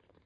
가자 가자